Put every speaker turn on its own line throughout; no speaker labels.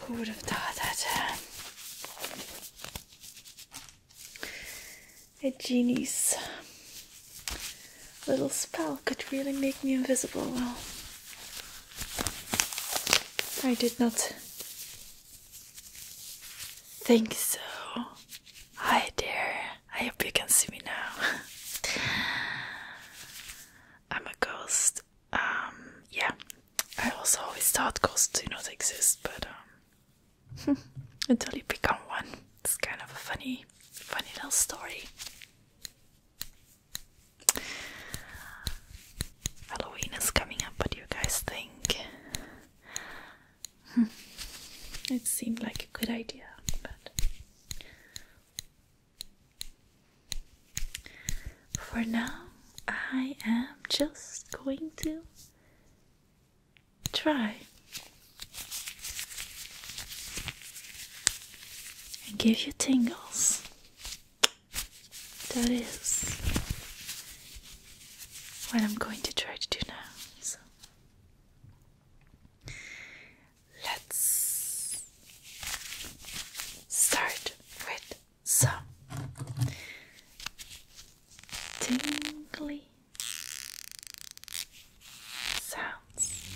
Who would have thought that uh, a genie's little spell could really make me invisible? Well, I did not think so. Hi there. I hope you can see me now. I'm a ghost um, yeah, I also always thought ghosts do not exist, but um, until you become one, it's kind of a funny, funny little story. Halloween is coming up. What do you guys think? Hmm. it seemed like a good idea, but for now, I am just going to try and give you tingles. That is what I'm going to try to do now. So let's start with so tingly sounds.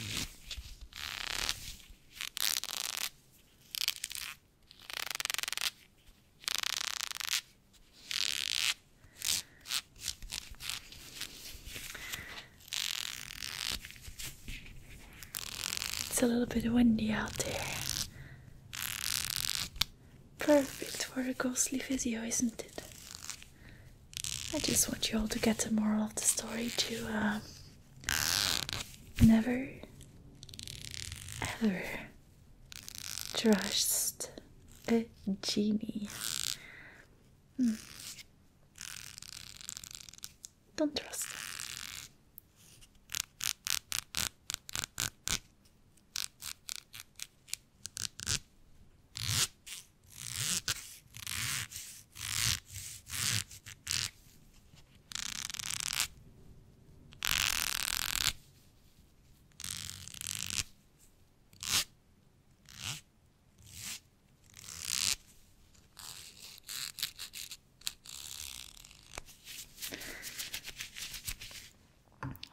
It's a little bit windy out there. Perfect for a ghostly video, isn't it? I just want you all to get the moral of the story to um, never, ever trust a genie. Hmm. Don't trust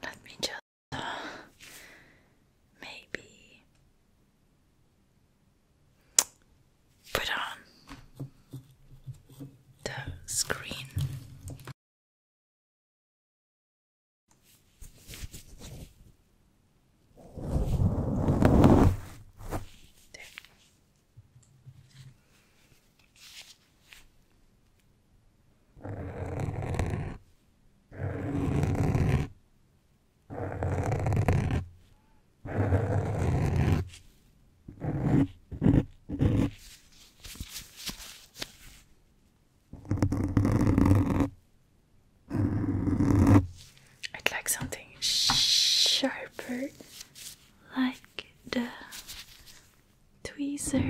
let me just uh, maybe put on the screen. There. I'd like something sharper like the tweezer.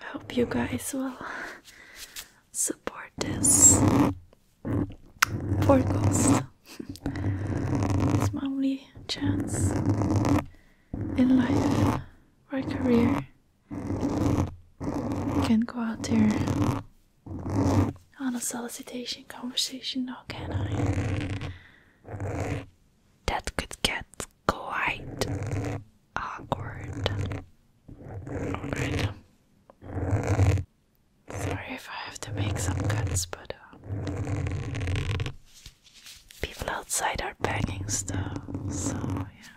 I hope you guys will support this poor ghost. it's my only chance in life or career can't go out there on a solicitation conversation, no, can I? That could get quite awkward. Sorry if I have to make some cuts, but uh, people outside are packing stuff, so yeah.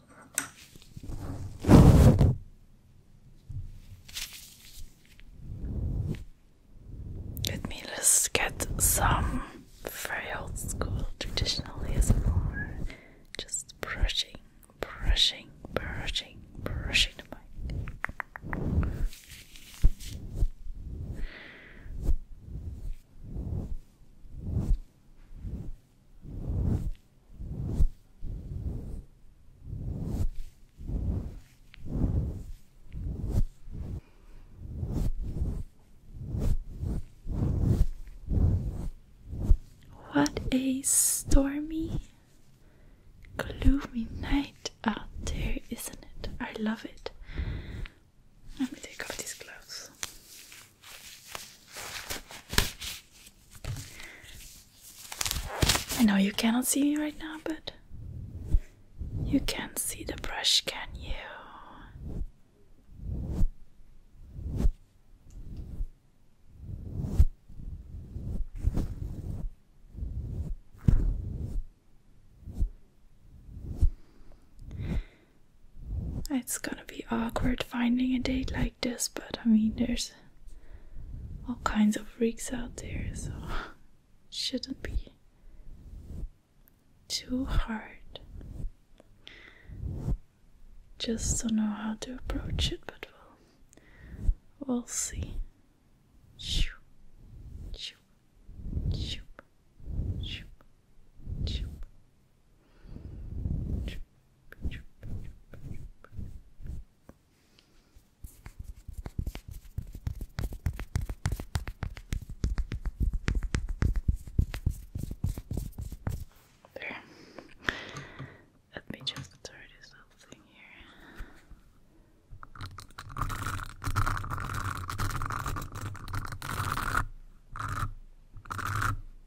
Let me just get some very old school traditional ASMR. Just brushing, brushing, brushing, brushing the mic. What a stormy, gloomy night out there, isn't it? I love it. Let me take off these gloves. I know you cannot see me right now, but you can see the brush, can you? It's gonna be awkward finding a date like this, but I mean, there's all kinds of freaks out there, so shouldn't be too hard. Just don't know how to approach it, but we'll, we'll see. Shoo, shoo, shoo, shoo, shoo, there. Let me just throw this little thing here.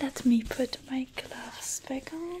Let me put my gloves back on.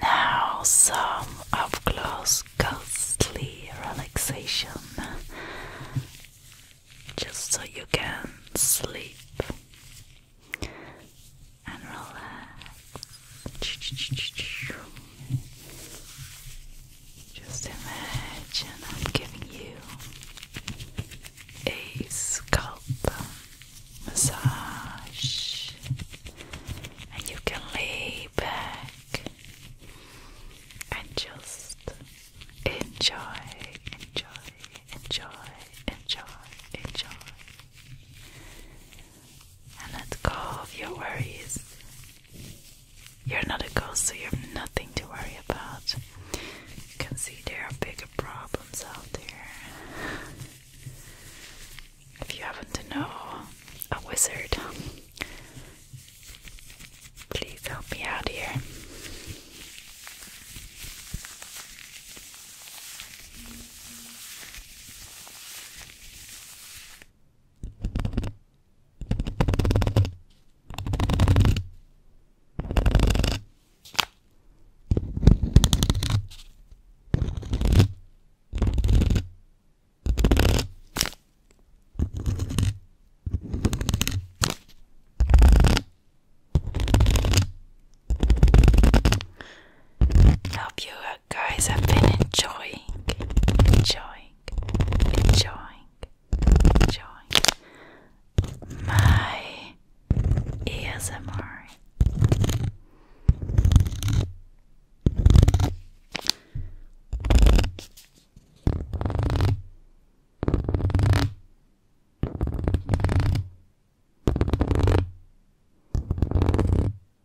Now, some of close ghostly relaxation just so you can sleep and relax. Just imagine I'm giving you a scalp massage, and you can lay back and just enjoy, enjoy, enjoy, enjoy, enjoy, and let go of your worries. You're not a ghost, so you have nothing to worry about. You can see there are bigger problems out there. If you happen to know a wizard, please help me out here. I you guys have been enjoying enjoying enjoying, enjoying my ASMR.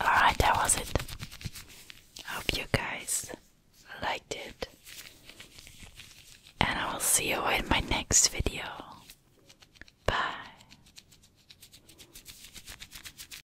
Alright, that was it. Hope you guys liked it. And I will see you in my next video. Bye.